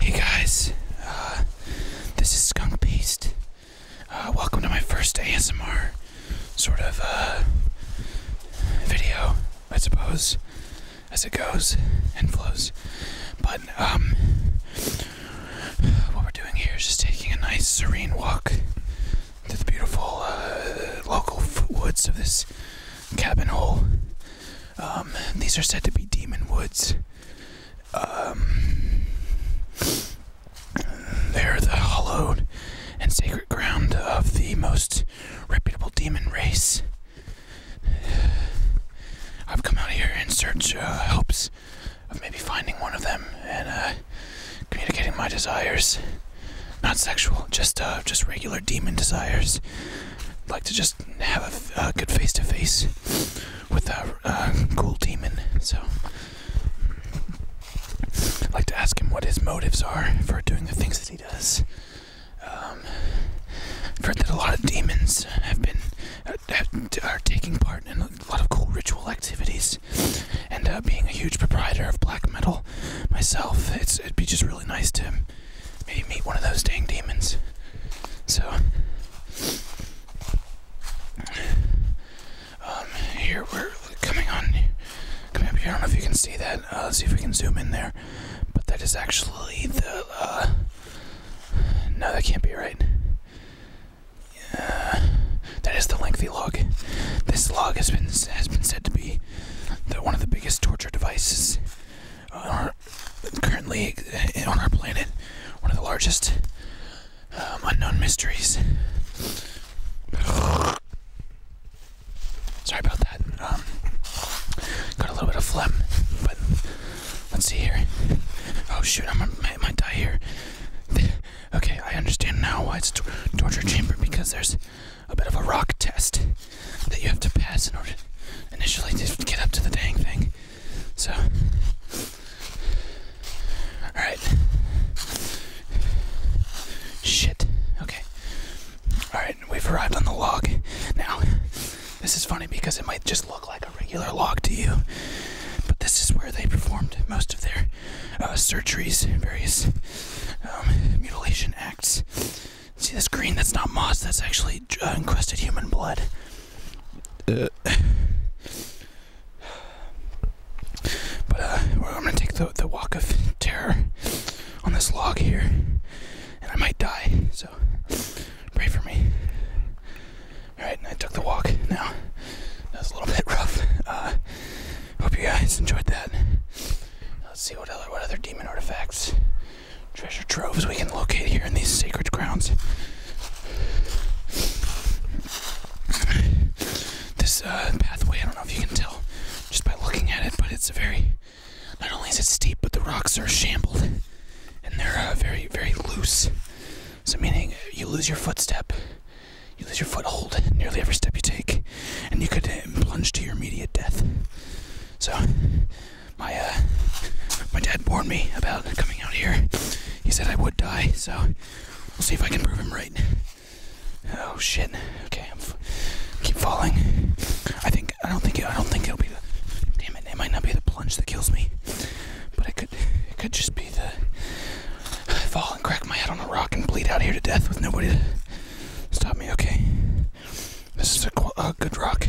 Hey guys, uh, this is Skunk Beast. Uh, welcome to my first ASMR sort of uh, video, I suppose, as it goes and flows. But um, what we're doing here is just taking a nice, serene walk through the beautiful local woods of this cabin hole. Um, these are said to be demon woods. Um, they're the hallowed and sacred ground of the most reputable demon race. I've come out here in search, of uh, hopes of maybe finding one of them and uh, communicating my desires. Not sexual, just uh, just regular demon desires like to just have a, good face to face with a, uh, cool demon. So, I'd like to ask him what his motives are for doing the things that he does. Um, I've heard that a lot of demons have been uh, are taking part in a lot of cool ritual activities, and uh, being a huge proprietor of black metal myself, it'd be just really nice to um, maybe meet one of those dang demons. So, um, here we're coming on, coming up here. I don't know if you can see that. Uh, let's see if we can zoom in there. But that is actually the. Uh, no, that can't be right. Yeah, that is the lengthy log. This log has been has been said to be the, one of the biggest torture devices uh, currently on our planet, one of the largest um, unknown mysteries. Sorry about that. Um, got a little bit of phlegm, but let's see here. Oh shoot, I might die here. okay, I understand now why it's torture chamber because there's a bit of a rock test that you have to pass in order initially to get up to the dang thing. So, all right. Shit. Okay. All right, we've arrived on the log. Now, this is funny because it might just look like a regular log to you, but this is where they performed most of their uh, surgeries, various um, mutilation acts. See this green? That's not moss. That's actually uh, encrusted human blood. but I'm uh, gonna take the the walk of terror on this log here, and I might die. So pray for me. All right, and I took the walk. Now that was a little bit rough. Uh, hope you guys enjoyed that. Let's see what other what other demon artifacts treasure troves we can locate here in these sacred grounds. This uh, pathway, I don't know if you can tell just by looking at it, but it's a very. Not only is it steep, but the rocks are shambled and they're uh, very, very loose. So, meaning you lose your footstep, you lose your foothold nearly every step you take, and you could uh, plunge to your immediate death. So, my uh, my dad warned me about coming out here. He said I would die, so we'll see if I can prove him right. Oh shit! Okay, I'm keep falling. I think I don't think it, I don't think it'll be the. Damn it! It might not be the plunge that kills me, but it could it could just be the fall and crack my head on a rock and bleed out here to death with nobody to stop me. Okay. This is a, good rock.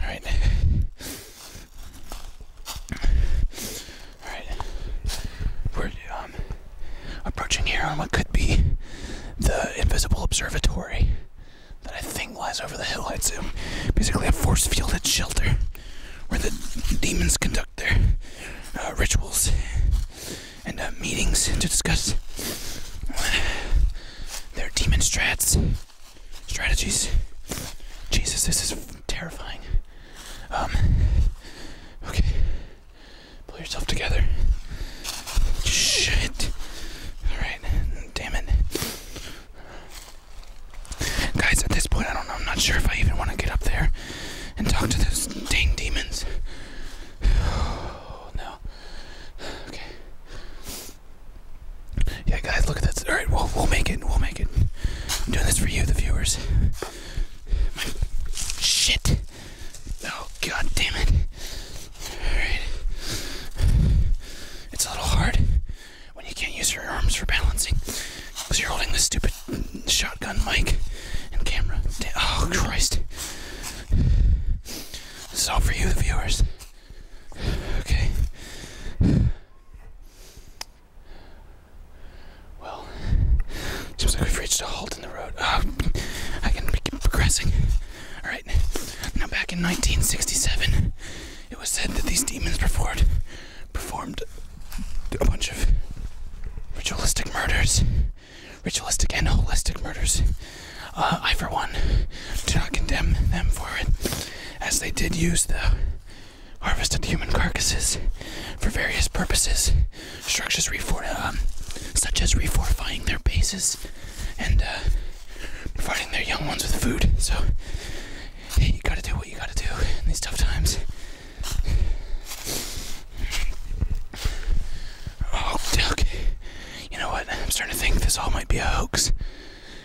All right. All right. We're um, approaching here on what could be the invisible observatory that I think lies over the hill. It's basically a force fielded shelter where the demons conduct their uh, rituals and uh, meetings to discuss they're demon strats strategies. Jesus, this is terrifying. Um, okay, pull yourself together. Shit. All right, damn it, guys. At this point, I don't know. I'm not sure if I even want to get up there and talk to those dang demons. Oh no. Okay. Yeah, guys, look at this. All right, we'll we'll make it. We'll make it. I'm doing this for you, the viewers. shit. Oh god damn it. All right. It's a little hard when you can't use your arms for balancing because you're holding this stupid shotgun mic and camera. Oh Christ. This is all for you, the viewers. Okay. Well, seems like we've reached a halt in the road. Uh, I can keep progressing. Alright, now back in 1967, it was said that these demons performed, performed a bunch of ritualistic murders ritualistic and holistic murders. Uh, I, for one, do not condemn them for it, as they did use the harvested human carcasses for various purposes, um, such as reforifying their bases and uh, providing their young ones with food. So, you gotta do what you gotta do in these tough times. Oh, okay. You know what? I'm starting to think this all might be a hoax.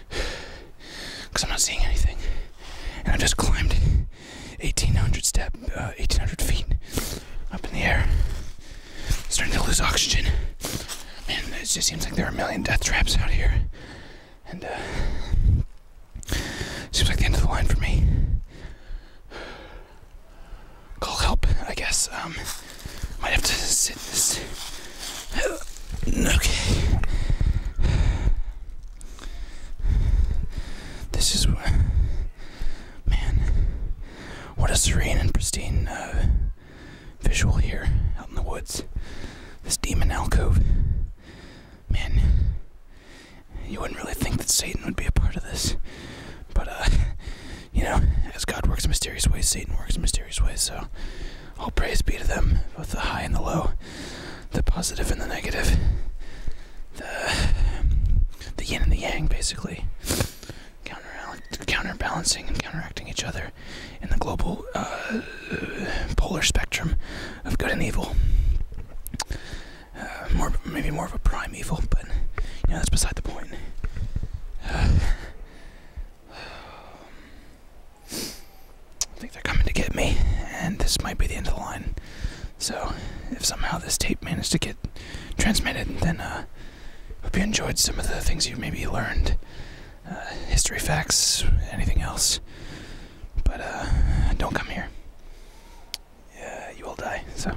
Because I'm not seeing anything. And I just climbed 1,800 step, 1,800 uh, feet up in the air. starting to lose oxygen. Man, it just seems like there are a million death traps out here. And, uh, seems like the end of the line for me call help, I guess. Um, might have to sit this. Okay. This is what. Man. What a serene and pristine uh, visual here out in the woods. This demon alcove. Man. You wouldn't really think that Satan would be a part of this. But, uh, you know, as God works in mysterious ways, Satan works in mysterious ways. So, all praise be to them, both the high and the low, the positive and the negative, the the yin and the yang, basically, counterbalancing and counteracting each other in the global uh, polar spectrum of good and evil. Uh, more, maybe more of a prime evil, but you know that's beside the point. Uh, I think they're coming to get me, and this might be the end of the line. So, if somehow this tape managed to get transmitted, then uh, hope you enjoyed some of the things you maybe learned, uh, history facts, anything else. But uh, don't come here. Yeah, you will die. So.